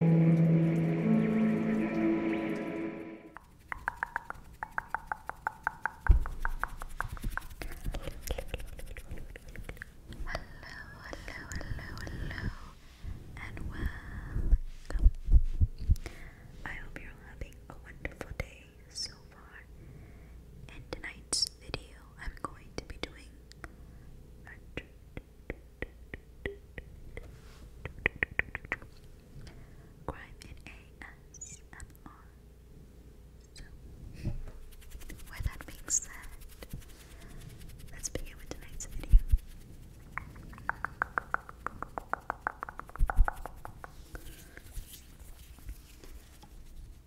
hello, hello, and welcome. I hope you're having a wonderful day so far. In tonight's video, I'm going to be doing Crime in ASMR. with that being said, let's begin with tonight's video.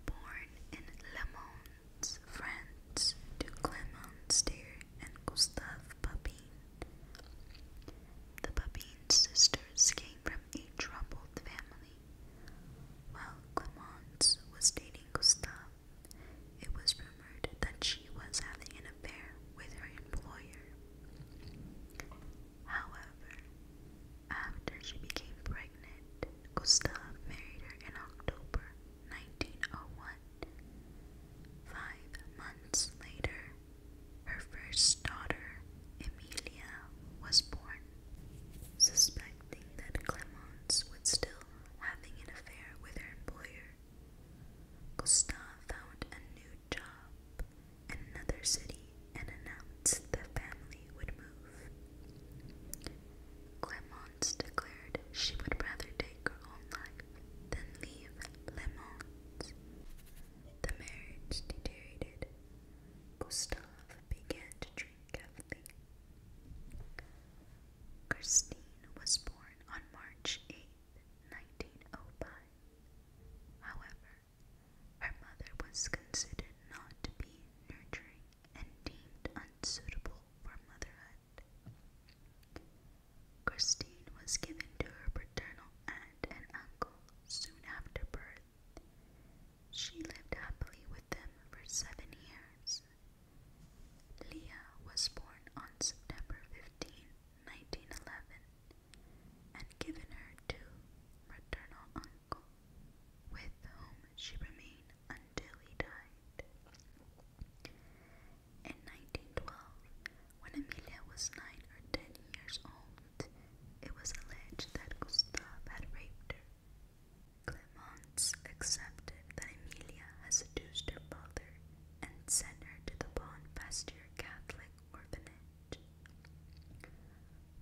Born in Le friends to Clemens Deer and Gustave Papin. The Papin sisters came from a troubled family. While Clemence was dating Gustave, it was rumored that she was having an affair with her employer. However, after she became pregnant, Gustave married her in October 1901. Five months later, her first daughter, Emilia, was born. Suspecting that Clemence was still having an affair with her employer, Gustave found a new job in another city and announced the family would move. Clemence declared she would rather take her own life than leave Clemence. The marriage deteriorated. Gustave began to drink heavily. Christine was born on March 8, 1905. However, her mother was considered not to be nurturing and deemed unsuitable for motherhood. Christine was given to her paternal aunt and uncle soon after birth. She lived happily with them for seven years. Leah was born on September 15, 1911, and given her to maternal uncle, with whom she remained until he died. In 1912, when Amelia was 9 or 10 years old, it was alleged that Gustave had raped her. Clemence accepted that Amelia had seduced her father and sent her to the Bonpasture Catholic orphanage,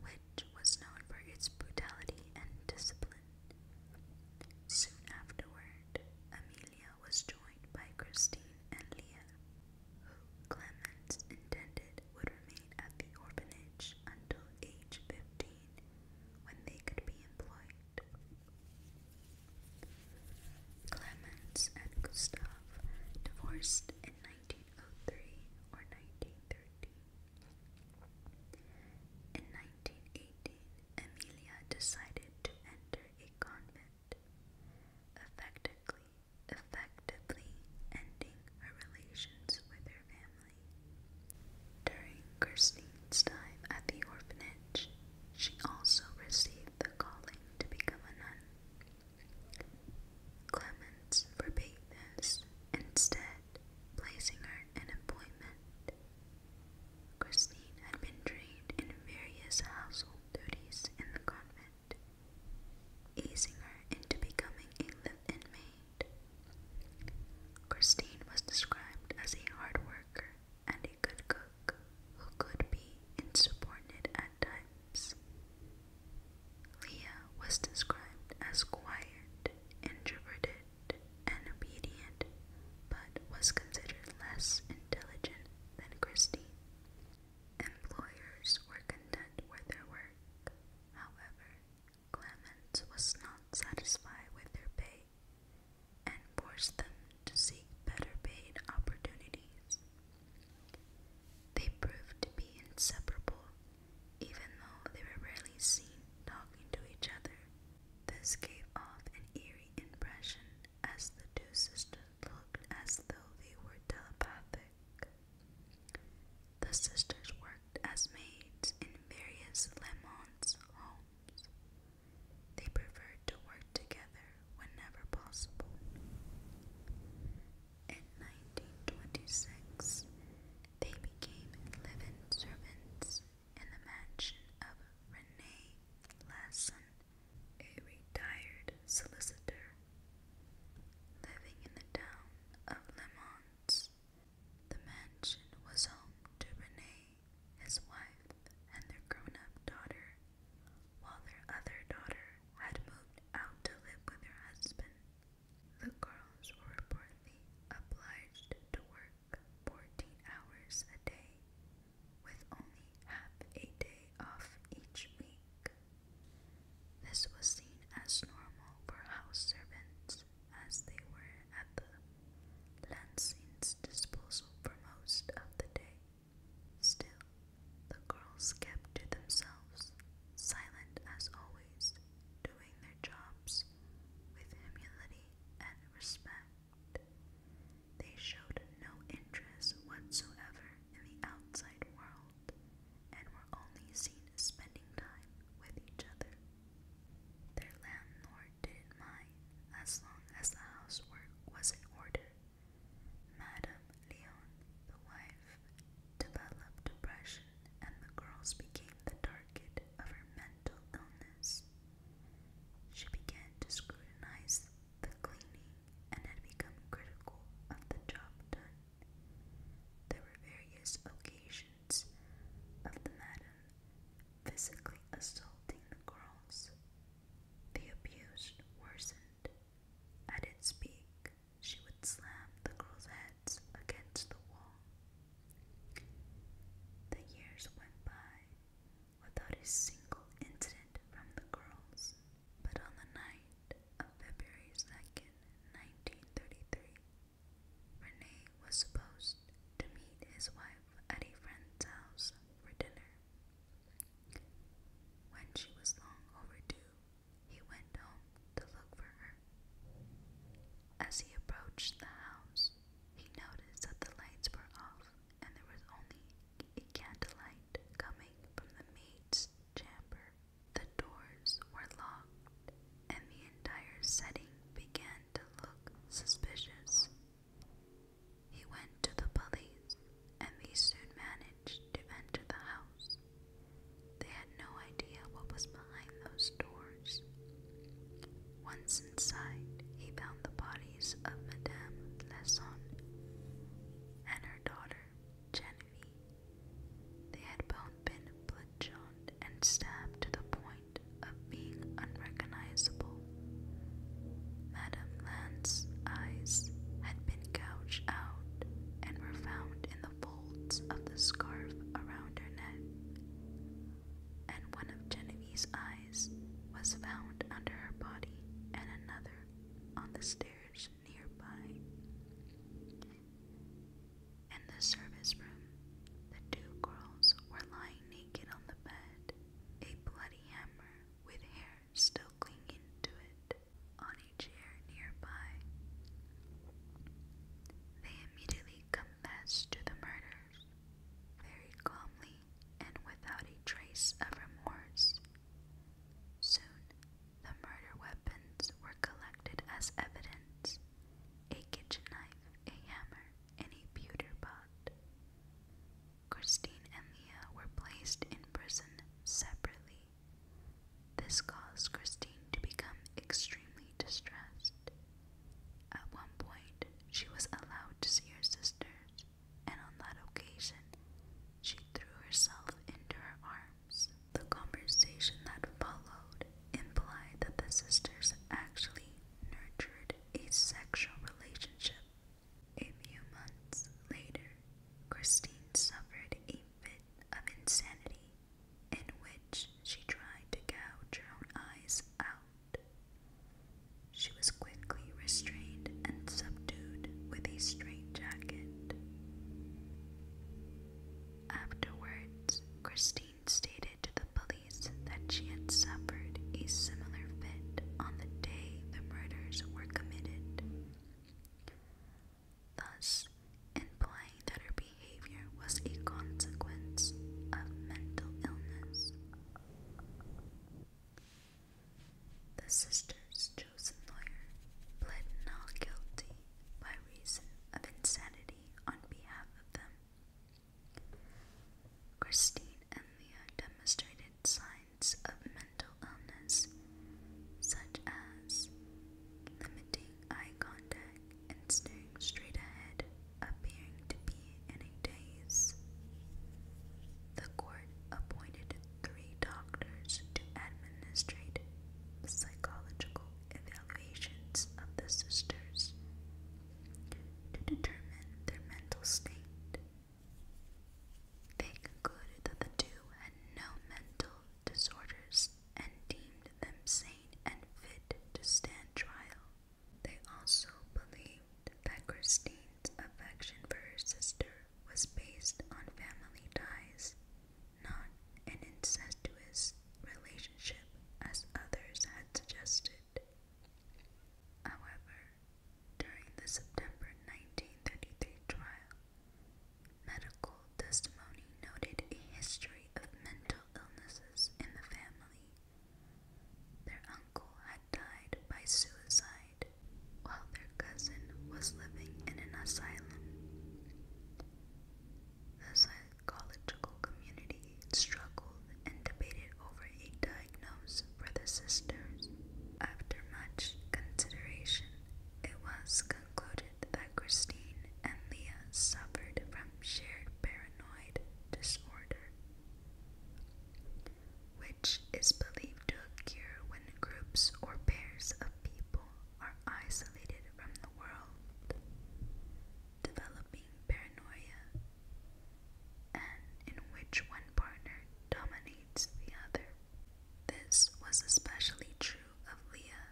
which was known for its brutality and discipline. Soon afterward, Amelia was joined by Christine and Leah, who Clement intended would remain at the orphanage until age 15, when they could be employed. Clemens and Gustav divorced in 1903 or 1913. In 1918, Amelia decided to enter a convent, effectively, effectively ending her relations with her family. During Christine's time at the orphanage, she also received the calling to become a nun. Clemens forbade this. Instead, placing her in employment. Christine had been trained in various household duties in the convent, easing her into becoming a live-in maid. Christine was described as a hard worker and a good cook who could be insubordinate at times. Leah was described as quiet, introverted, and obedient, but was considered less intelligent than Christie. Employers were content with their work. However, Clements was not satisfied with their pay and forced them to seek better paid opportunities. They proved to be inseparable even though they were rarely seen talking to each other, this gave off an eerie impression as the two sisters looked as though they were telepathic. The sisters worked as maids in various Lemonts homes. They preferred to work together whenever possible. In 1926, they became living servants in the mansion of Rene Lassen, a retired solicitor living in the town of Le Mans. The mansion was home to Rene, his wife, and their grown-up daughter, while their other daughter had moved out to live with her husband. The girls were reportedly obliged to work 14 hours a day, with only half a day off each week. This was seen as normal for house servants, as they were at the Lansing's disposal for most of the day. Still, the girls kept to themselves, silent as always, doing their jobs with humility and respect. They showed no interest whatsoever in the outside world and were only seen spending time with each other. Their landlord didn't mind as long as the housework was in order. Madame Leon, the wife developed depression, and the girls became the target of her mental illness. She began to scrutinize the cleaning and had become critical of the job done. There were various occasions of the madam physically assaulting the girls. The abuse worsened. At its peak, she would slam the girls' heads against the wall. The years went by without a single incident from the girls, but on the night of February 2nd, 1933, Renee was supposed to meet his wife at friend's house for dinner. When she was long overdue, he went home to look for her. As he approached the house, he noticed that the lights were off and there was only a candlelight coming from the maid's chamber. The doors were locked, and the entire setting began to look suspicious. He went to the police and they soon managed to enter the house. They had no idea what was behind those doors. Once inside, he found the bodies of Madame Lesson and her daughter, Genevieve. They had both been bludgeoned and stabbed to the point of being unrecognizable. Madame Lance's eyes had been been out and were found in the folds of the scarf around her neck. And one of Genevieve's eyes was found under her body, and another on the stairs nearby. In the service room, the two girls were lying naked on the bed, a bloody hammer with hair hair still clinging to it on a chair nearby. They immediately confessed to the murders, very calmly and without a trace of remorse. Soon, the murder weapons were collected as evidence a kitchen knife, a hammer, and a pewter pot. Christine and Leah were placed in prison separately this caused Christine to become extremely distressed. At one point, she was allowed to see her sisters, and on that occasion, she threw herself into her arms. The conversation that followed implied that the sisters actually nurtured a sexual relationship a few months later, Christine suffered a fit of insanity in which she tried to gouge her own eyes out. She was quickly restrained and subdued with a straitjacket. Afterwards, Christine stated to the police that she had suffered a similar fit on the day the murders were committed thus implying that her behavior was a consequence of mental illness. The sister's chosen lawyer pled not guilty by reason of insanity on behalf of them. Christine and demonstrated signs of mental illness, such as limiting eye contact and staring straight ahead, appearing to be in a daze. The court appointed three doctors to administrate psychological evaluations of the sisters to determine their mental state. They concluded that the two had no mental disorders and deemed them sane and fit to stand trial. They also believed that Christine's affection for her sister was based on family ties, not an incestuous relationship as others had suggested. However, during the September 1933 trial, medical testimony noted a history of mental illnesses in the family. Their uncle had died by suicide while their cousin was living in an asylum. The psychological community struggled and debated over for a diagnose sisters. After much consideration, it was concluded that Christine and Leah suffered from shared paranoid disorder, which is believed to occur when groups or pairs of people are isolated from the world. Developing paranoia and in which one partner dominates the other. This was especially true of Leah,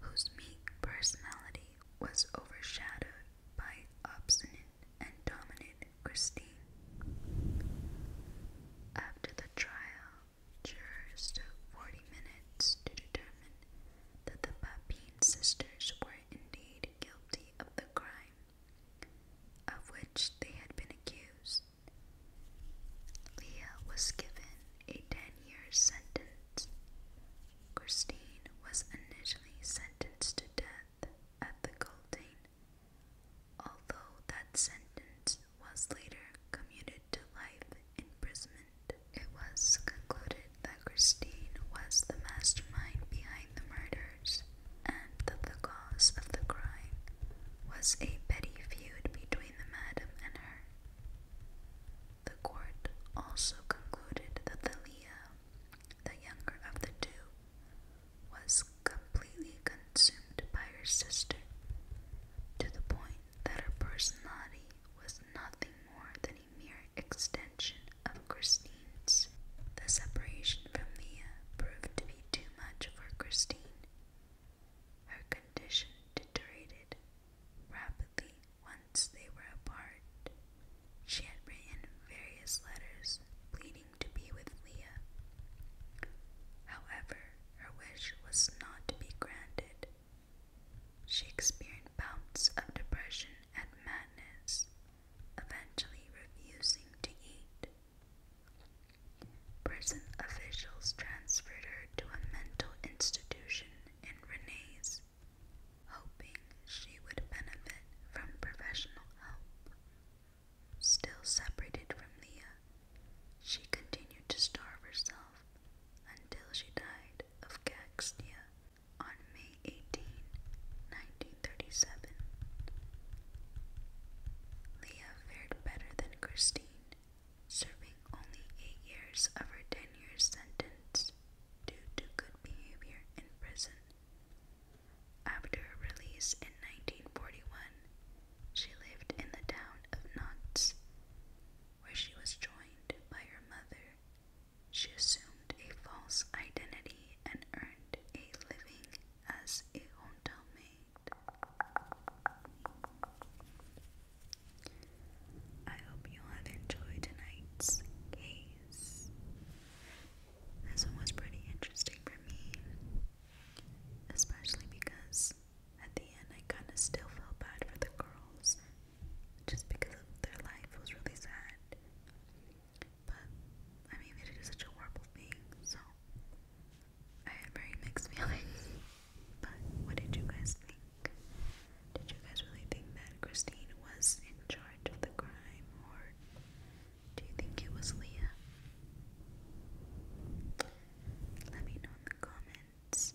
whose meek personality was overshadowed by obstinate and dominant Christine. After the trial, jurors took 40 minutes to determine that the Papine sisters were indeed guilty of the crime of which they had been accused. Leah was given a 10 year sentence. Christine was initially sentenced to death at the Cultane, although that sentence was later commuted to life imprisonment. It was concluded that Christine was the mastermind behind the murder and that the cause of the crime was a petty feud between the madam and her. The court also concluded that the Leah, the younger of the two, was completely consumed by her sister, to the point that her personality was nothing more than mere extension of Christine's. The separation from Leah uh, proved to be too much for Christine. Her condition deteriorated rapidly once they were apart. She had written various letters pleading to be with Leah. However, her wish was not to be granted. She experienced bouts of depression and madness, eventually refusing to eat. Prison officials transferred her to a mental institution in Renes, hoping she would benefit from professional help. Still separated from Leah, she continued to starve herself until she died of gaxia on May 18, Leah fared better than Christine, serving only eight years of her ten year sentence due to good behavior in prison. After release in 1941, she lived in the town of Nantes, where she was joined by her mother, she assumed a false identity and earned a living as a hotel maid. I hope you have enjoyed tonight's case. This one was pretty interesting for me, especially because at the end I kind of still felt bad for the girls just because of their life was really sad. But I mean, they did such a horrible thing, so I had very mixed feelings. But what did you guys think? Did you guys really think that Christine was in charge of the crime, or do you think it was Leah? Let me know in the comments.